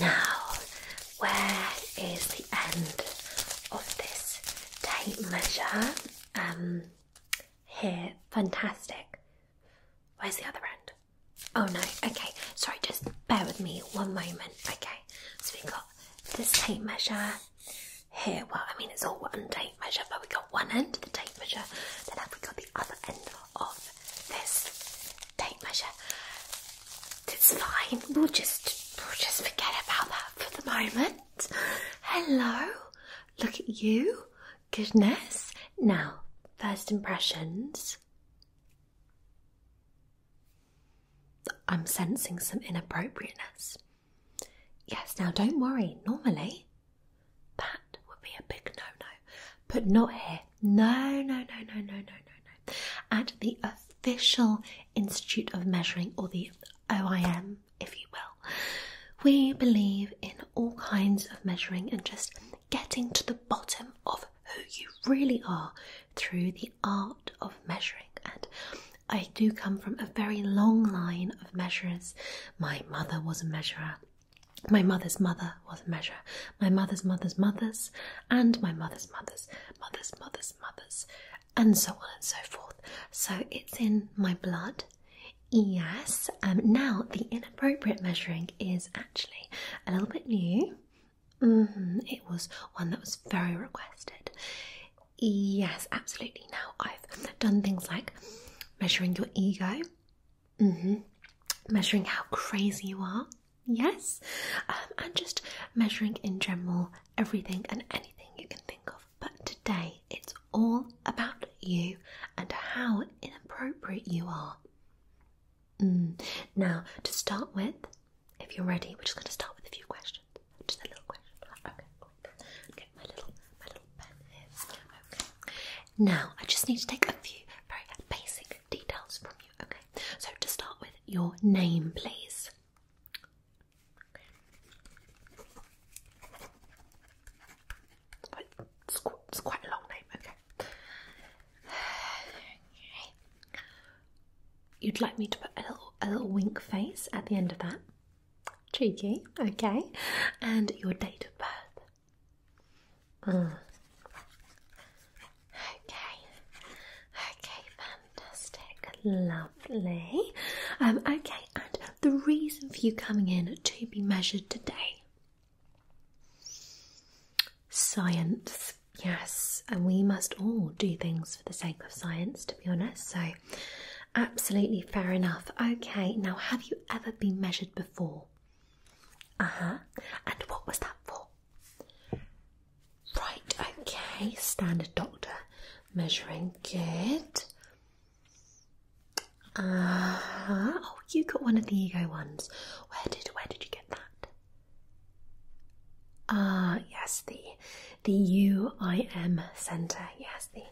Now, where is the end of this tape measure? Um, here, fantastic. Where's the other end? Oh no, okay, sorry, just bear with me one moment. Okay, so we've got this tape measure here. Well, I mean, it's all one tape measure, but we got one end of the tape measure, then have we got the other end of this tape measure. It's fine. We'll just we'll just forget about that for the moment. Hello. Look at you. Goodness. Now, first impressions. I'm sensing some inappropriateness. Yes, now don't worry. Normally, that would be a big no no but not here. No, no, no, no, no, no, no, no. At the official Institute of Measuring, or the OIM, if you will. We believe in all kinds of measuring and just getting to the bottom of who you really are through the art of measuring. And I do come from a very long line of measurers. My mother was a measurer my mother's mother was a measure, my mother's mother's mother's, and my mother's mother's mother's mother's mother's, and so on and so forth. So it's in my blood. Yes, um, now the inappropriate measuring is actually a little bit new. Mm-hmm, it was one that was very requested. Yes, absolutely. Now I've done things like measuring your ego, Mm-hmm. Measuring how crazy you are. Yes. Um, and just measuring in general everything and anything you can think of. But today it's all about you and how inappropriate you are. Mm. Now, to start with, if you're ready, we're just going to start with a few questions. Just a little question. Okay, okay. My little, my little pen here. Okay. Now, I just need to take a few very basic details from you, okay? So, to start with, your name, please. It's quite, a long name, okay. You'd like me to put a little wink face at the end of that? Cheeky, okay. And your date of birth. Mm. Okay. Okay, fantastic. Lovely. Um, okay, and the reason for you coming in to be measured today? Science. Yes, and we must all do things for the sake of science, to be honest. So, absolutely fair enough. Okay, now have you ever been measured before? Uh huh. And what was that for? Right, okay. Standard doctor measuring. Good. Uh Oh, you got one of the ego ones. Where did where did you get that? Ah, uh, yes, the the UIM Centre. Yes, the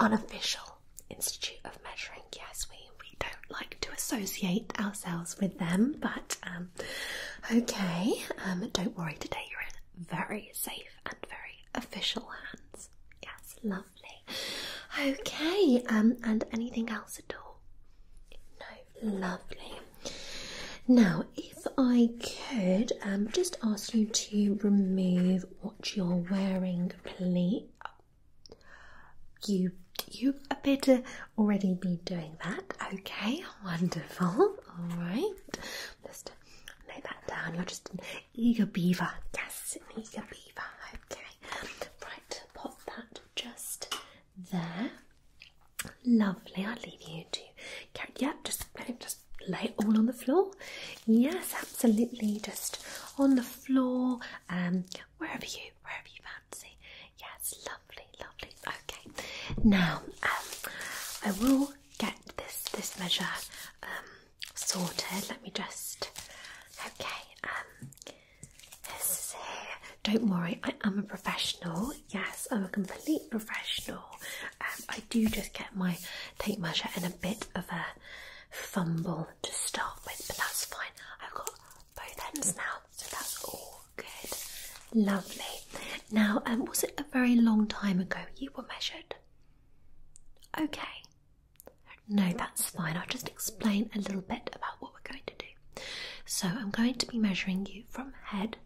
unofficial Institute of Measuring yes, we, we don't like to associate ourselves with them, but um, okay, um, don't worry, today you're in very safe and very official hands. Yes, lovely. Okay, um, and anything else at all? No, lovely. Now, if I could just ask you to remove what you're wearing, please. You you appear to already be doing that. Okay, wonderful. All right, just lay that down. You're just an eager beaver. Yes, an eager beaver. Okay, right. Pop that just there. Lovely. I'll leave you to. Yeah, just just lay it all on the floor. Yes, absolutely. Just on the floor. Um, wherever you wherever you fancy. Yes, lovely, lovely. Okay, now um, I will get this this measure um, sorted. Let me just. Okay. Um, this is Don't worry, I am a professional. Yes, I'm a complete professional. Um, I do just get my tape measure and a bit of a fumble to start with, but that's fine. I've got both ends now, so that's all good. Lovely. Now, um, was it a very long time ago you were measured? Okay. No, that's fine. I'll just explain a little bit about what we're going to do. So, I'm going to be measuring you from head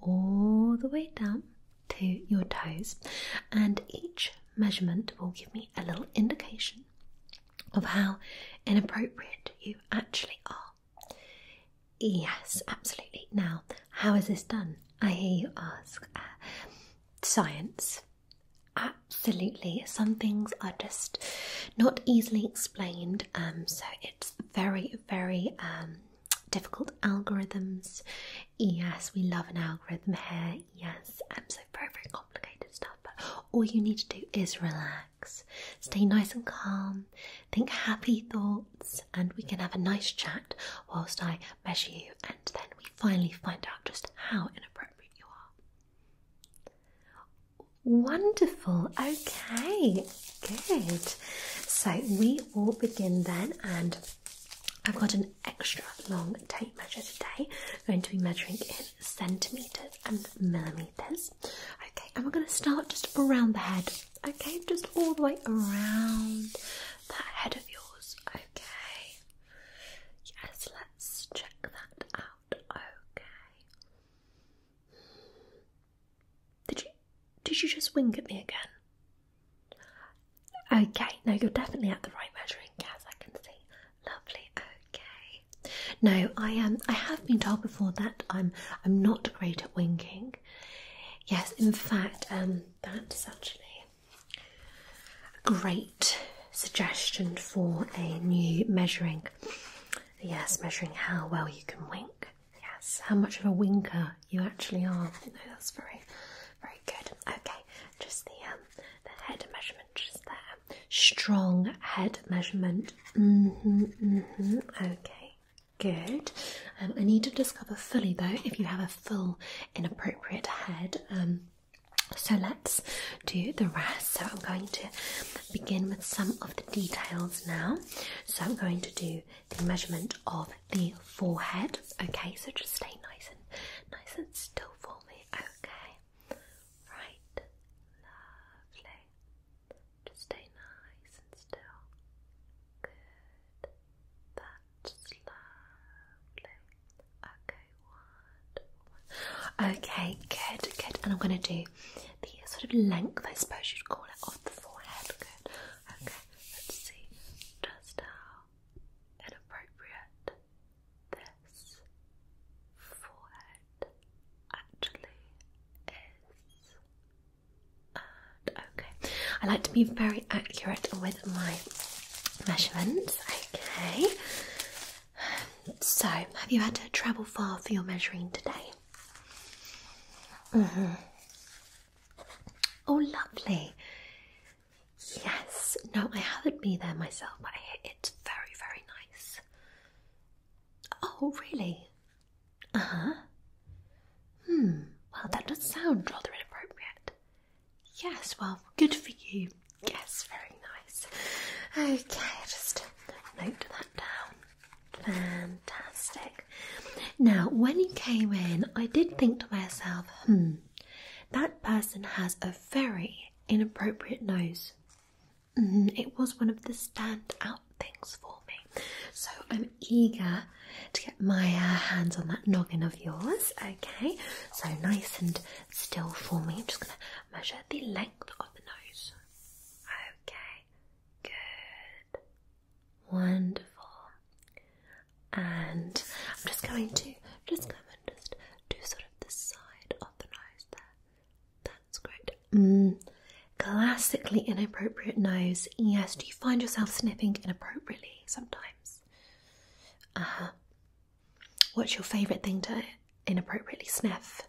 all the way down to your toes, and each measurement will give me a little indication of how inappropriate you actually are. Yes, absolutely. Now, how is this done? I hear you ask. Uh, science. Absolutely. Some things are just not easily explained, um, so it's very, very um, difficult algorithms. Yes, we love an algorithm here yes, um, so very, very complicated stuff, but all you need to do is relax, stay nice and calm, think happy thoughts, and we can have a nice chat whilst I measure you, and then we finally find out just how inappropriate you are. Wonderful, okay, good. So we will begin then, and I've got an extra long tape measure today, going to be measuring in centimeters and millimeters. Okay, and we're going to start just around the head. Okay, just all the way around that head of yours. Okay, yes, let's check that out. Okay, did you did you just wink at me again? Okay, now you're definitely at the right measuring gas. I can see. Lovely. Okay. No, I am. Um, I have been told before that I'm. I'm not great at winking. Yes, in fact, um, that's actually a great suggestion for a new measuring. Yes, measuring how well you can wink. Yes, how much of a winker you actually are. No, that's very, very good. Okay, just the um, the head measurement just there. Um, strong head measurement. hmm hmm Okay, good. Um, I need to discover fully though if you have a full inappropriate head. Um, so let's do the rest. So I'm going to begin with some of the details now. So I'm going to do the measurement of the forehead. Okay, so just stay nice and nice and still for me. Okay. Right, lovely. Just stay nice and still. Good. That's lovely. Okay, wonderful. Okay, good, good. And I'm going to do the sort of length, I suppose you'd call it, of the forehead. Good. Okay, let's see just how inappropriate this forehead actually is. okay, I like to be very accurate with my measurements. Okay, so have you had to travel far for your measuring today? Mm-hmm. Oh, lovely. Yes, no, I haven't been there myself, but it's very, very nice. Oh, really? Uh huh. Hmm, well, that does sound rather inappropriate. Yes, well, good for you. Yes, very nice. Okay, just note that down. Fantastic. Now, when he came in, I did think to myself, hmm, that person has a very inappropriate nose. Mm, it was one of the stand-out things for me. So I'm eager to get my uh, hands on that noggin of yours. Okay, so nice and still for me. I'm just going to measure the length of the nose. Okay, good, wonderful. And I'm just going to just come and just do sort of the side of the nose there. That's great. Mm. Classically inappropriate nose. Yes. Do you find yourself sniffing inappropriately sometimes? Uh huh. What's your favourite thing to inappropriately sniff?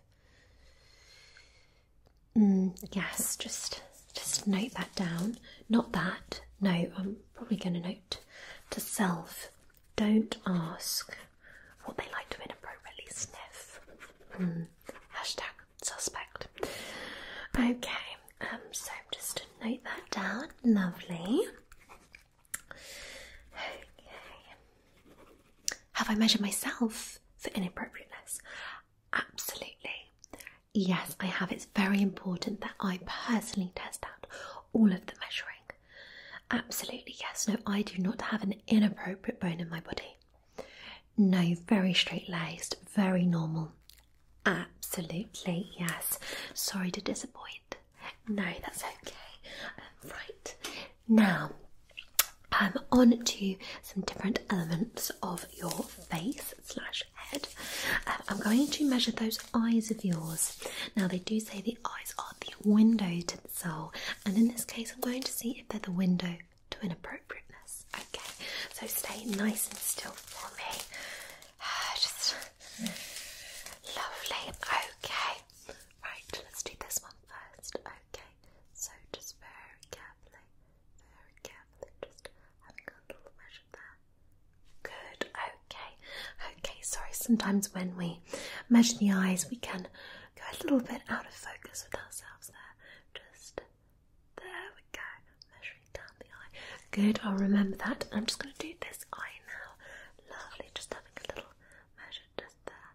Mm, yes, just just note that down. Not that. No, I'm probably going to note to self. Don't ask would they like to inappropriately sniff? Hmm. Hashtag suspect. Okay, um, so just to note that down. Lovely. Okay. Have I measured myself for inappropriateness? Absolutely. Yes, I have. It's very important that I personally test out all of the measuring Absolutely, yes. No, I do not have an inappropriate bone in my body. No, very straight laced, very normal. Absolutely, yes. Sorry to disappoint. No, that's okay. Um, right, now I'm um, on to some different elements of your face slash head. Um, I'm going to measure those eyes of yours. Now, they do say the eyes are the window to the soul, and in this case, I'm going to see if they're the window to inappropriateness. Okay, so stay nice and still for me. Just lovely. Okay, right, let's do this one first. Okay, so just very carefully, very carefully, just having a little measure there. Good, Okay, okay, sorry. Sometimes when we measure the eyes, we can go a little bit out of focus with ourselves there. Just there we go, measuring down the eye. Good, I'll remember that. I'm just going to do this eye now. Lovely, just having a little measure just there,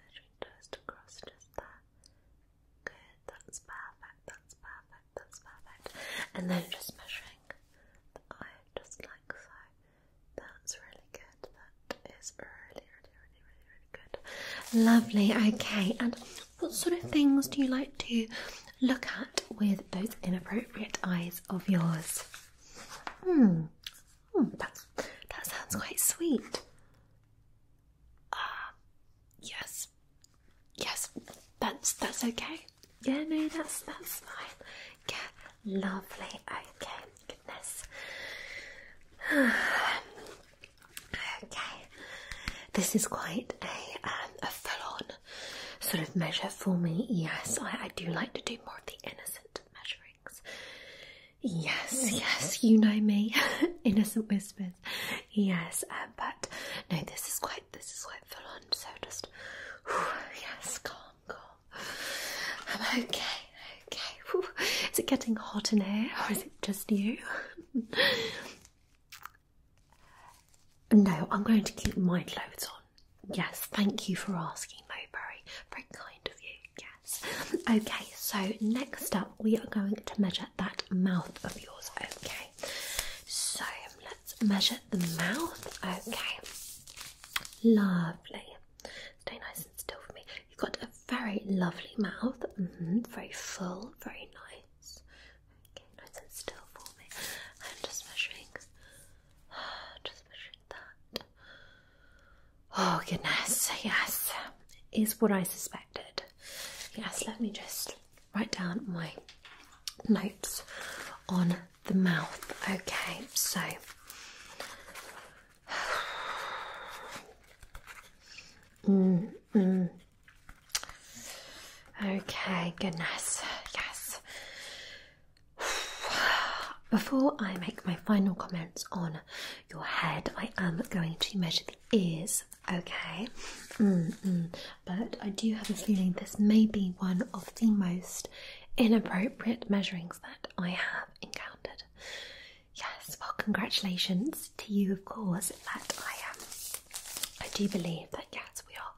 measuring just across, just there. Good, that's perfect, that's perfect, that's perfect. And then just measuring the eye just like so. That's really good. That is really, really, really, really, good. Lovely. Okay. And what sort of things do you like to look at with those inappropriate eyes of yours? Hmm. Mm, that sounds quite sweet. Ah, yes, yes. That's that's okay. Yeah, no, that's that's fine. lovely. Okay, goodness. okay, this is quite a um, a full-on sort of measure for me. Yes, I, I do like to do more of the innocent measurings. Yes, yes, you know me, innocent whispers. Yes, uh, but no, this is quite this is quite full on. So just yes, calm I'm okay, okay. is it getting hot in here or is it just you? no, I'm going to keep my clothes on. Yes, thank you for asking, Mowbray. Very kind of you, yes. Okay, so next up we are going to measure that mouth of yours, okay? So Let's measure the mouth. Okay. Lovely. Stay nice and still for me. You've got a very lovely mouth. Mm-hmm. Very full, very nice. Okay, nice and still for me. i just measuring. Just measuring that. Oh goodness, yes. Is what I suspected. Yes, let me just write down my notes on the mouth. Okay, so mm, mm. okay, goodness, yes. Before I make my final comments on your head, I am going to measure the ears. Okay, mm, mm. but I do have a feeling this may be one of the most inappropriate measurings that I have encountered. Yes, well, congratulations to you, of course, that I am. Um, I do believe that, yes, we are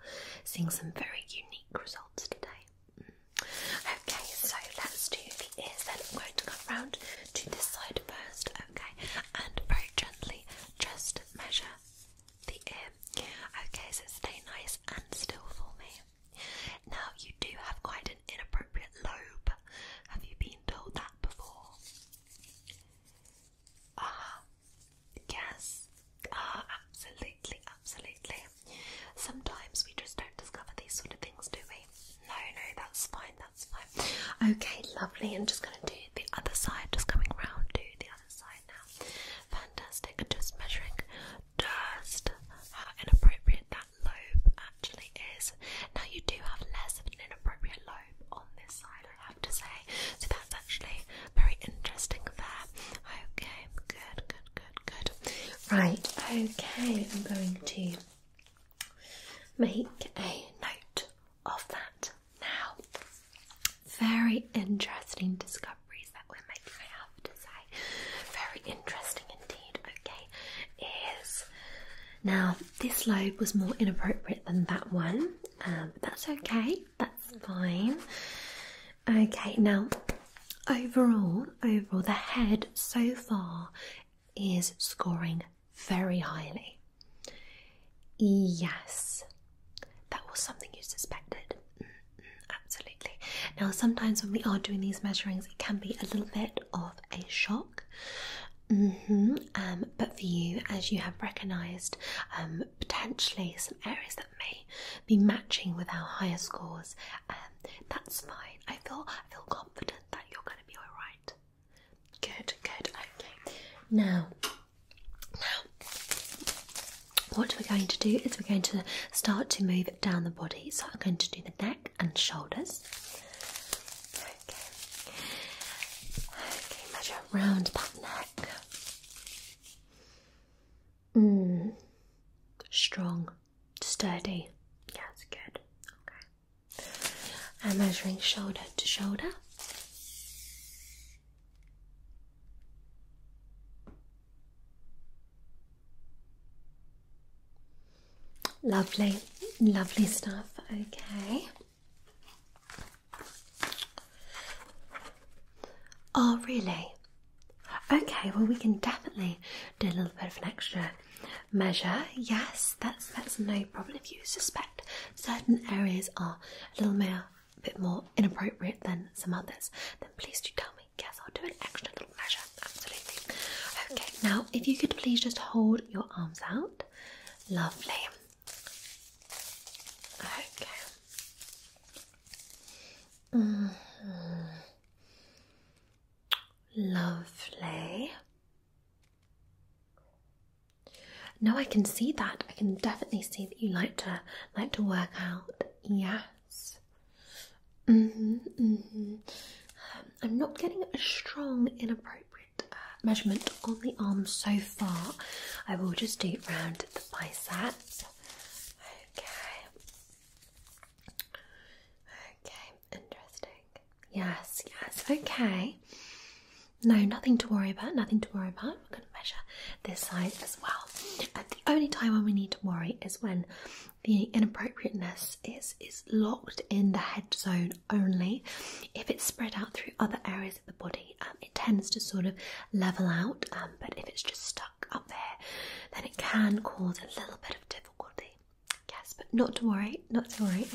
seeing some very unique results today. Mm. Okay, so let's do the ears then. I'm going to come round to this side first, okay, and very gently just measure the ear. Okay, so stay nice and still for me. Now, you do have quite an inappropriate lobe. Have you been told that before? Ah, yes. Ah, absolutely, absolutely. Sometimes we just don't discover these sort of things, do we? No, no, that's fine, that's fine. Okay, lovely. I'm just going to do the other side, just coming round to the other side now. Fantastic. Just measuring just how inappropriate that lobe actually is. Now, you do have less of an inappropriate lobe on this side, I have to say, so that's actually very interesting there. Okay, good, good, good, good. Right, okay, I'm going to make a note of that now. Very interesting discoveries that we're making, I have to say. Very interesting indeed, okay. Is now this lobe was more inappropriate than that one. Um, that's okay, that's fine. Okay, now overall, overall, the head so far is scoring very highly. Yes, that was something you suspected. Mm-hmm. absolutely. Now, sometimes when we are doing these measurings, it can be a little bit of a shock. Mm-hmm. Um, but for you, as you have recognised um, potentially some areas that may be matching with our higher scores, um, that's fine. I feel feel confident that you're going to be all right. Good, good. Okay. Now, now, what we're going to do is we're going to start to move down the body. So I'm going to do the neck and shoulders. Okay. Okay, measure around that neck. Mm. Strong, sturdy. Yes, good. Okay. I'm measuring shoulder to shoulder. Lovely, lovely stuff. Okay. Oh, really? Okay, well, we can definitely do a little bit of an extra measure. Yes, that's that's no problem if you suspect certain areas are a little more a bit more inappropriate than some others, then please do tell me. Yes, I'll do an extra little measure. Absolutely. Okay, now if you could please just hold your arms out. Lovely. Okay. Mm-hmm. Lovely. No, I can see that. I can definitely see that you like to like to work out yes. Mm-hmm, mm-hmm. Um, I'm not getting a strong, inappropriate uh, measurement on the arm so far. I will just do it round the biceps. Okay. Okay, interesting. Yes, yes, okay. No, nothing to worry about, nothing to worry about we're going to measure this side as well. the only time when we need to worry is when the inappropriateness is is locked in the head zone only. If it's spread out through other areas of the body, um, it tends to sort of level out. Um, but if it's just stuck up there, then it can cause a little bit of difficulty. Yes, but not to worry, not to worry. Okay,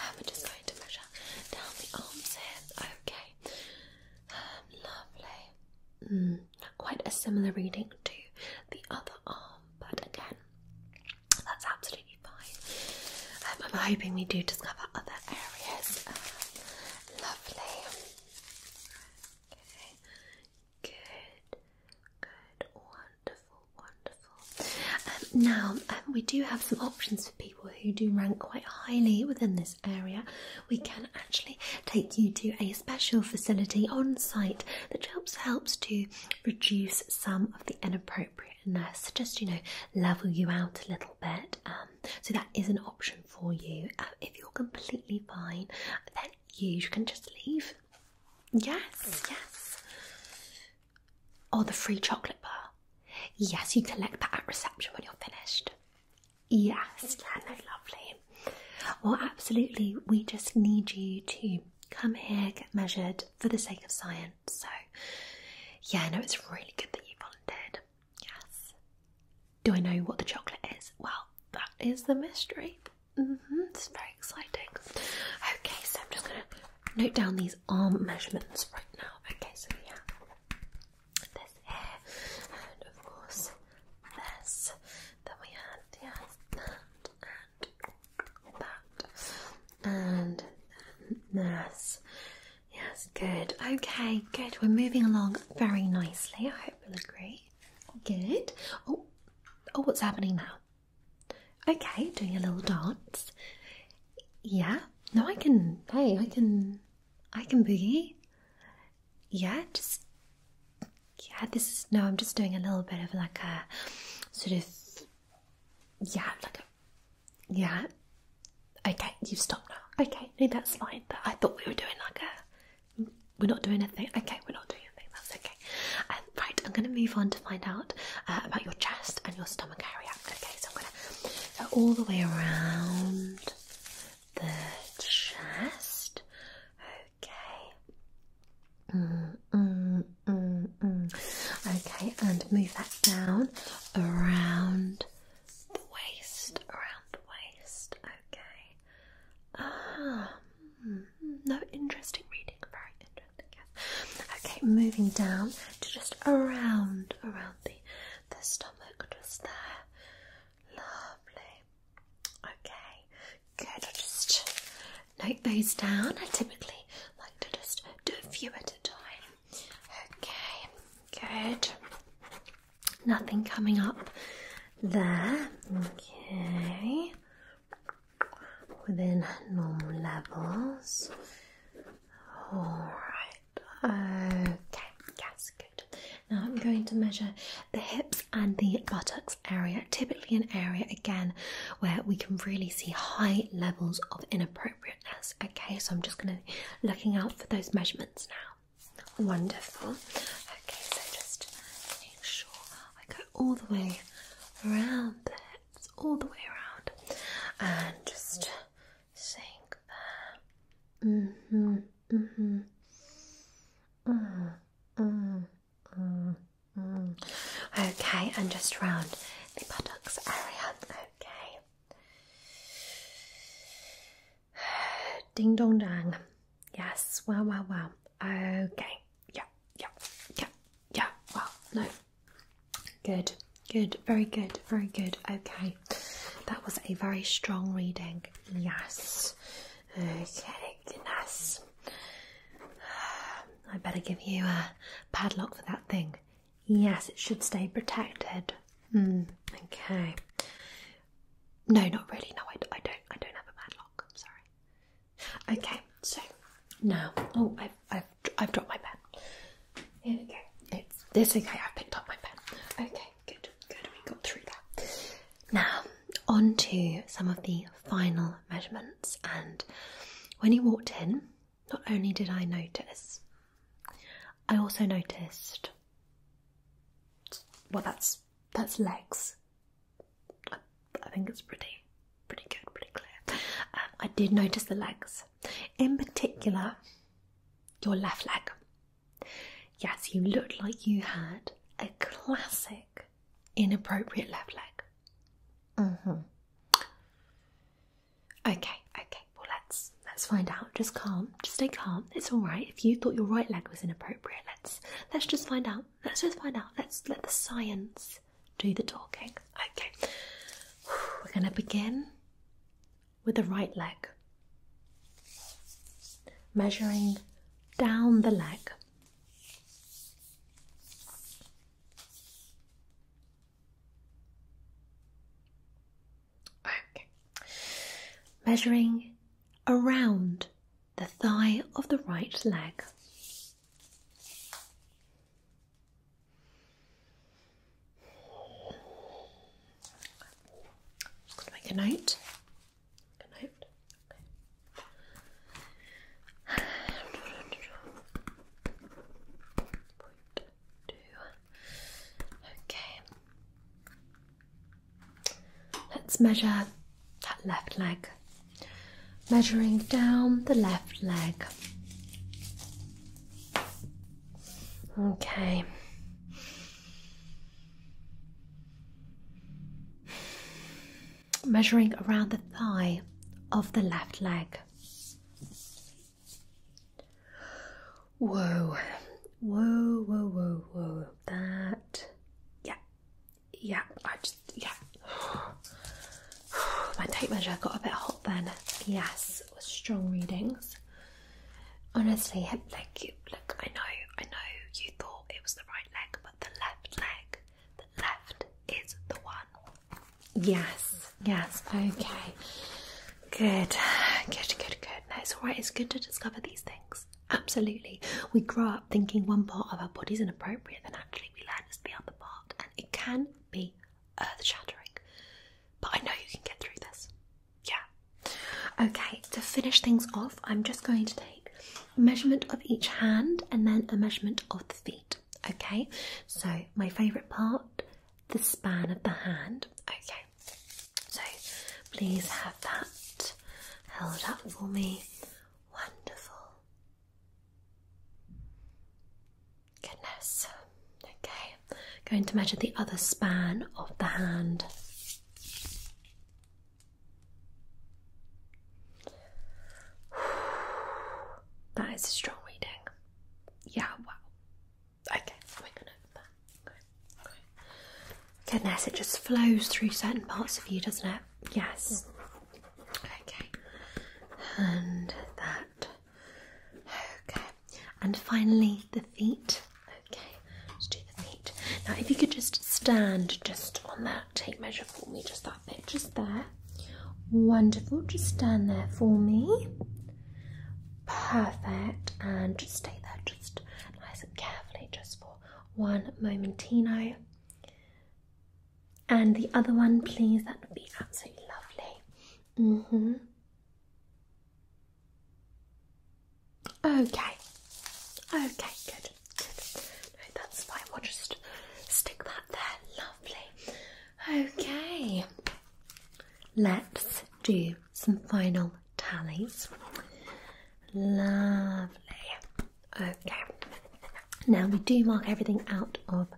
um, we're just going to measure down the arms here. Okay, um, lovely. Mm, quite a similar reading to the other arm, but again, that's absolutely fine. Um, I'm hoping we do discover other areas. Uh, lovely. Okay. Good. Good. Wonderful. Wonderful. Um, now, um, we do have some options for people who do rank quite highly within this area, we can actually take you to a special facility on site that helps helps to reduce some of the inappropriateness, just you know, level you out a little bit. Um, so that is an option for you. Uh, if you're completely fine, then you can just leave. Yes, yes. Or the free chocolate bar. Yes, you collect that at reception when you're finished. Yes, yeah, no, lovely. Well, absolutely, we just need you to come here, get measured for the sake of science. So, yeah, I know it's really good that you volunteered. Yes. Do I know what the chocolate is? Well, that is the mystery. Mm -hmm, it's very exciting. Okay, so I'm just going to note down these arm measurements right now. Okay, so yeah, this hair, and of course this. Then we had yes, that and that, and this. Yes, good. Okay, good. We're moving along very nicely. I hope you'll agree. Good. Oh, oh, what's happening now? Okay, doing a little dance. Yeah. No, I can. Hey, I can. I can boogie. Yeah, just yeah. This is no. I'm just doing a little bit of like a sort of yeah, like a yeah. Okay, you've stopped now. Okay, no, that's fine. But I thought we were doing like a we're not doing anything. Okay, we're not doing anything. That's okay. Um, right, I'm gonna move on to find out uh, about your chest and your stomach area. Okay, so I'm gonna go all the way around the chest. Okay. Mm, mm, mm, okay, and move that down around the waist. Around the waist. Okay. Ah, no, interesting reading. Very interesting. Okay, moving down to just around, around the the stomach, just there. Lovely. Okay, good. i just note those down. I typically like to just do a few at a time. Okay, good. Nothing coming up there. Okay. Within normal levels. Alright. Okay, yes, good. Now I'm going to measure the hips and the buttocks area, typically an area again where we can really see high levels of inappropriateness. Okay, so I'm just going to be looking out for those measurements now. Wonderful. Okay, so just make sure I go all the way around the hips, all the way around, and just saying that. Mm hmm, mm hmm. Mm, mm, mm, mm. Okay, and just round the buttocks area. Okay. Ding dong dong. Yes. Wow. Wow. Wow. Okay. Yeah. Yeah. Yeah. Yeah. Wow. No. Good. Good, very good, very good. Okay, that was a very strong reading. Yes. Okay, goodness. I better give you a padlock for that thing. Yes, it should stay protected. Mm, okay. No, not really. No, I, I don't. I don't have a padlock. I'm sorry. Okay, so now, oh, I've I've I've dropped my pen. Here we go. It's this okay. I've picked up my pen. Okay, good, good. We got through that. Now, on to some of the final measurements. And when you walked in, not only did I notice, I also noticed. Well, that's that's legs. I, think it's pretty, pretty good, pretty clear. Um, I did notice the legs in particular your left leg. Yes, you looked like you had a classic inappropriate left leg. hmm Okay, okay. Well, let's let's find out. Just calm. Just stay calm. It's all right. If you thought your right leg was inappropriate, let's let's just find out. Let's just find out. Let's let the science do the talking. Okay. We're gonna begin with the right leg. Measuring down the leg. Okay. Measuring around the thigh of the right leg make a note. Okay. Let's measure that left leg. Measuring down the left leg. Okay. Measuring around the thigh of the left leg. Whoa, whoa, whoa, whoa, whoa. That, yeah, yeah, I just, yeah. My tape measure got a bit hot then. Yes, strong readings. Honestly, like look, I know, I know you thought it was the right leg, but the left leg, the left is the one. Yes, yes, okay. Good, good, good, good. No, it's alright, it's good to discover these things. Absolutely. We grow up thinking one part of our body is inappropriate, then actually we learn it's the other part, and it can be uh, the shattering. But I know you can get through this. Yeah. Okay, to finish things off, I'm just going to take a measurement of each hand and then a measurement of the feet. Okay, so my favourite part the span of the hand. Okay, so please have that held up for me. Wonderful. Goodness. Okay, going to measure the other span of the hand. That is a strong reading. Yeah, wow. Okay, oh Goodness, it just flows through certain parts of you, doesn't it? Yes. Okay. And that. Okay. And finally, the feet. Okay, let's do the feet. Now, if you could just stand just on that tape measure for me, just that bit, just there. Wonderful. Just stand there for me. Perfect. And just stay there, just nice and carefully, just for one momentino. And the other one, please. That would be absolutely lovely. hmm. Okay. Okay, good. Good. No, that's fine. We'll just stick that there. Lovely. Okay. Let's do some final tallies. Lovely. Okay. Now we do mark everything out of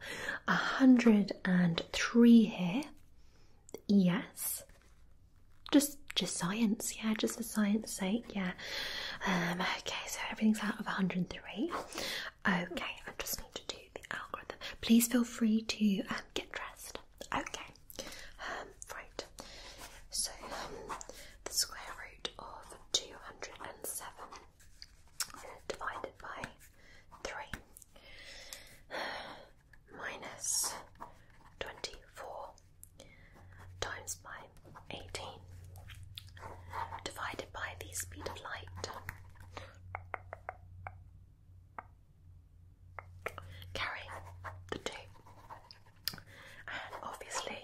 103 here. Yes. Just just science, yeah, just for science sake, yeah. Um, okay, so everything's out of 103. Okay, I just need to do the algorithm. Please feel free to um, get dressed. Okay, um, right. So the square root of 207 uh, divided by 3 minus 24 times by 18 divided by the speed of light. Carry the two. And obviously,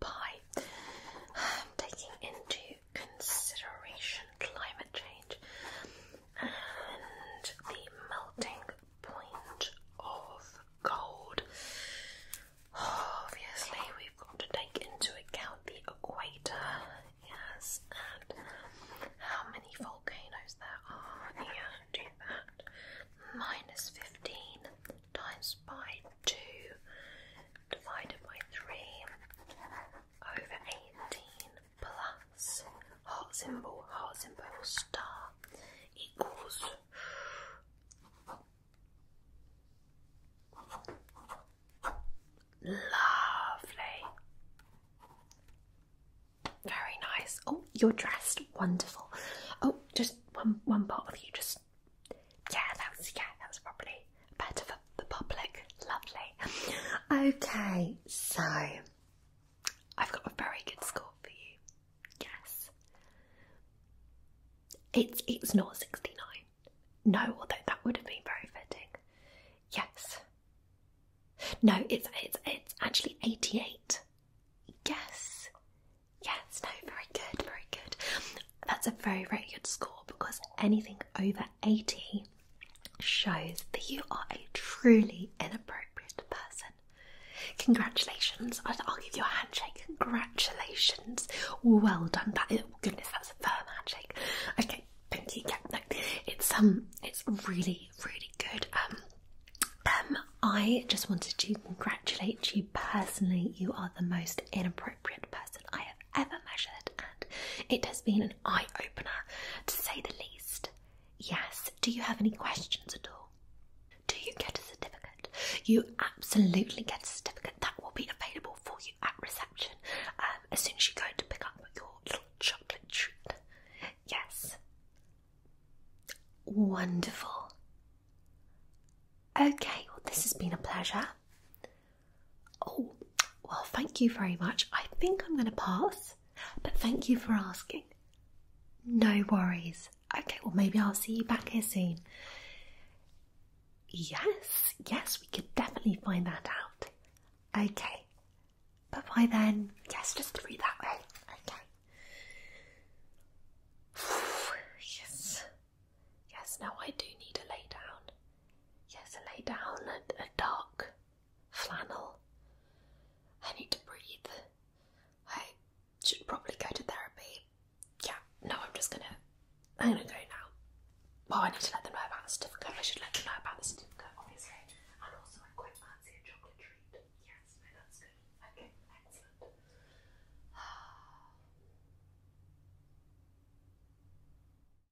pi. Um, taking into consideration climate change, and the melting point of gold. Obviously, we've got to take into account the equator, yes, and how many volcanoes there are. Yeah, do that. Minus 15 times by 2 divided by 3 over 18 plus heart symbol, heart symbol, star equals lovely. Very nice. Oh, you're dressed wonderful. Oh, just one one part of you just yeah, that was yeah, that was probably better for the public. Lovely. Okay, so I've got a very good score for you. Yes. It's it's not 69. No, although that would have been very fitting. Yes. No, it's it's it's actually 88. Yes. Yes, no, very good, very good. That's a very, very good score because anything over 80 shows that you are a truly inappropriate person. Congratulations. I'll give you a handshake. Congratulations. Well done. That is, oh goodness, that's a firm handshake. Okay, thank you. Yeah, no, it's um, it's really, really good. Um, um, I just wanted to congratulate you personally. You are the most inappropriate person I have ever measured, and it has been an eye opener to say the least. Yes, do you have any questions at all? Do you get a certificate? You absolutely get a certificate that will be available for you at reception um, as soon as you go to pick up your little chocolate treat. Yes. Wonderful. Okay, well, this has been a pleasure. Oh, well, thank you very much. I think I'm going to pass, but thank you for asking. No worries. Okay, well, maybe I'll see you back here soon. Yes, yes, we could definitely find that out. Okay, bye bye then. Yes, just to through that way. Okay. yes, yes, now I do need a lay down. Yes, a lay down and a dark flannel. I need to breathe. I should probably go to therapy. Yeah, no, I'm just gonna. I'm gonna go now. Well, I need to let them know about this certificate. I should let them know about this certificate, obviously. And also, I quite fancy a chocolate treat. Yes, no, that's good. Okay, excellent.